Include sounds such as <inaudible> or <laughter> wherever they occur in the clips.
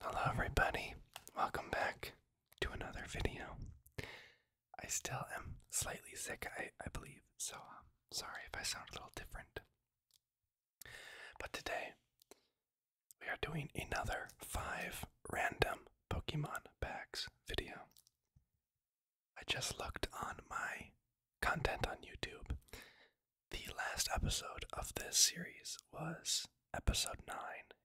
Hello, everybody. Welcome back to another video. I still am slightly sick, I, believe, so um, sorry if I sound a little different. But today, we are doing another five random Pokemon packs video. I just looked on my content on YouTube the last episode of this series was episode 9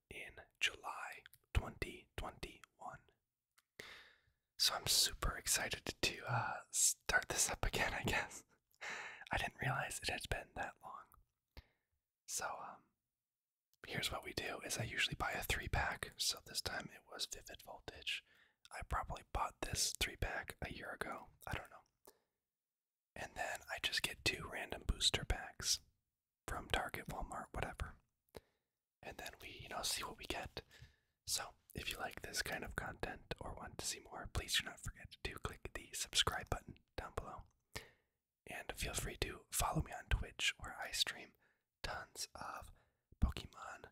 in July 2021. So I'm super excited to uh, start this up again, I guess. <laughs> I didn't realize it had been that long. So um, here's what we do is I usually buy a three pack, so this time it was Vivid Voltage. I probably bought this three pack a year ago. I don't know. And then I just get two random booster packs from Target, Walmart, whatever. And then we, you know, see what we get. So, if you like this kind of content or want to see more, please do not forget to click the subscribe button down below. And feel free to follow me on Twitch where I stream tons of Pokemon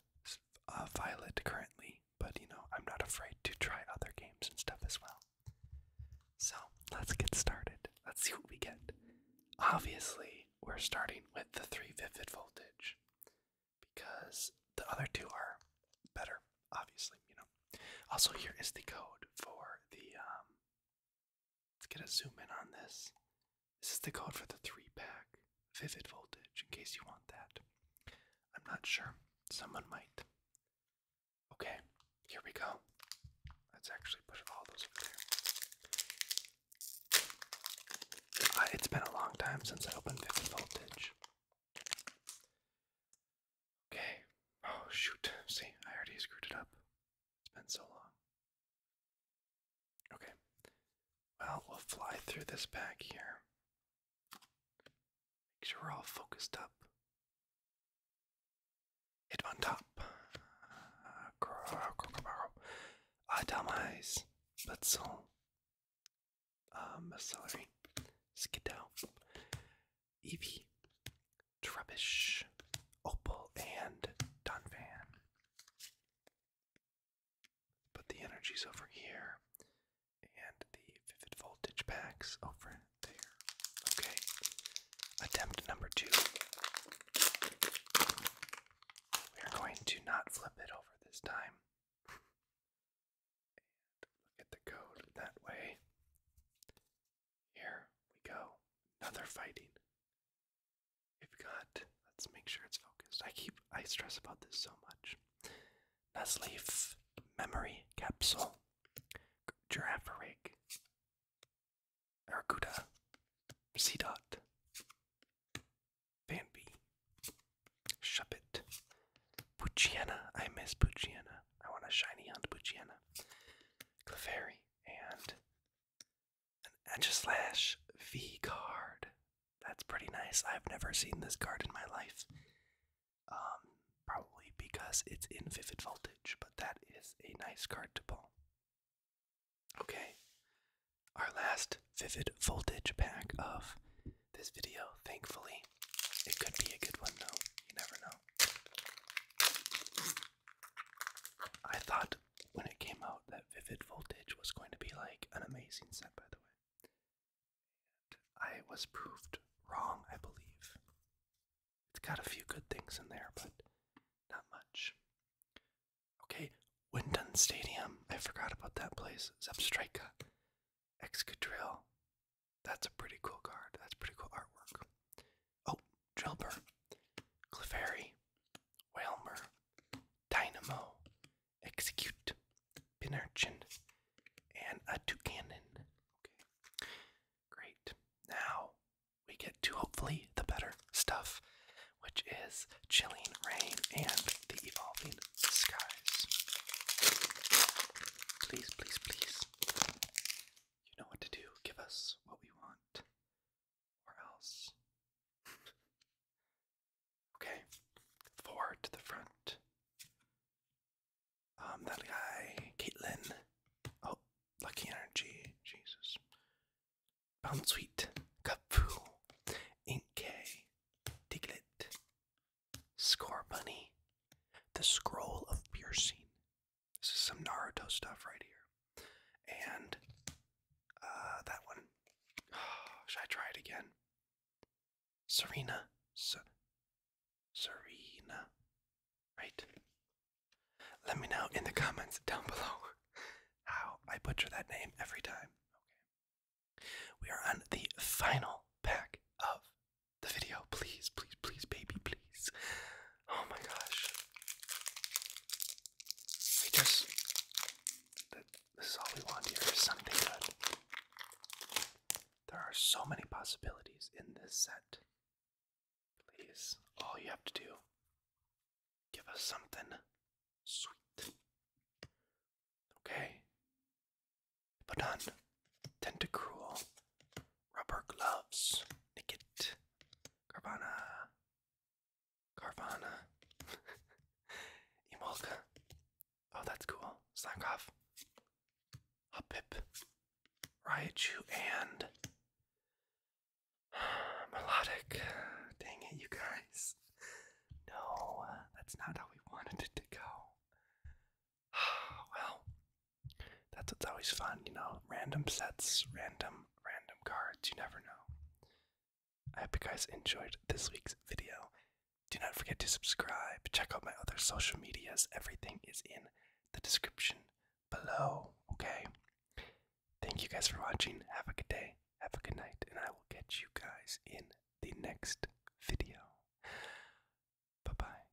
uh, Violet currently, but you know, I'm not afraid to try other games and stuff as well. So let's get started. Let's see what we get. Obviously, we're starting with the 3 vivid voltage because the other two are better, obviously, you know. Also, here is the code for the. Um, let's get a zoom in on this. This is the code for the 3 pack vivid voltage in case you want that. I'm not sure. Someone might. Okay, here we go. Let's actually push all those over there. Uh, it's been a long time since I opened 50 voltage. Okay. Oh, shoot. See, I already screwed it up. It's been so long. Okay. Well, we'll fly through this back here. Make sure we're all focused up. It went up. top. Ah, uh, Adamais. Let's Um, celery. Skidow. Eevee. rubbish, Opal. And Dunvan. Put the energies over here. And the vivid voltage packs over oh, there. Okay. Attempt number two. We are going to not flip it over this time. look at the code that way. Here we go. Another fighting. We've got, let's make sure it's focused. I keep, I stress about this so much. Nesleaf memory capsule. Giraffe Aracuda. C dot. Shuppet. Pucciana. I miss Pucciana. I want a shiny hunt Pucciana. Clefairy. And an Edge Slash V card. That's pretty nice. I've never seen this card in my life um, probably because it's in vivid voltage, but that is a nice card to pull. Okay, our last vivid voltage pack of this video, thankfully. It could be a good one though, you never know. I thought when it came out that Vivid Voltage was going to be like an amazing set, by the way. I was proved wrong, I believe. It's got a few good things in there, but not much. Okay, Wyndon Stadium. I forgot about that place. Zepstrika. Excadrill. That's a pretty cool card. That's pretty cool artwork. Oh, Drilber. Clefairy. Whalmer. Dynamo. Execute. Pinarchin. And a Toucanon. Okay. Great. Now we get to hopefully the better stuff, which is chilling rain and the evolving skies. Please, please, please. You know what to do. Give us what we want, or else. <laughs> okay, forward to the front. Um, that guy, Caitlyn. Oh, Lucky Energy. Jesus. Bound Sweet. Kapfu. Inkay. Diglett. Score Bunny. The Scroll of Piercing. This is some Naruto stuff right here. And uh, that one. <sighs> should I try it again? Serena. Serena. Right? Let me know in the comments down <laughs> below how I butcher that name every time. Okay. We are on the final pack of the video. Please, please, please, baby, please. Oh my gosh. We just. This is all we want here is something good. There are so many possibilities in this set. Please, all you have to do, give us something sweet. Okay? Put on Tentacruel, Rubber Gloves, Nicket, Carvana, Carvana, Emolka. <laughs> Oh, that's cool. Slack off a Pip, Raichu, and <sighs> Melodic. Dang it, you guys. No, that's not how we wanted it to go. <sighs> well, that's what's always fun, you know. Random sets, random, random cards, you never know. I hope you guys enjoyed this week's video. Do not forget to subscribe. Check out my other social medias. Everything is in the description below, okay? Thank you guys for watching. Have a good day. Have a good night. And I will catch you guys in the next video. Bye bye.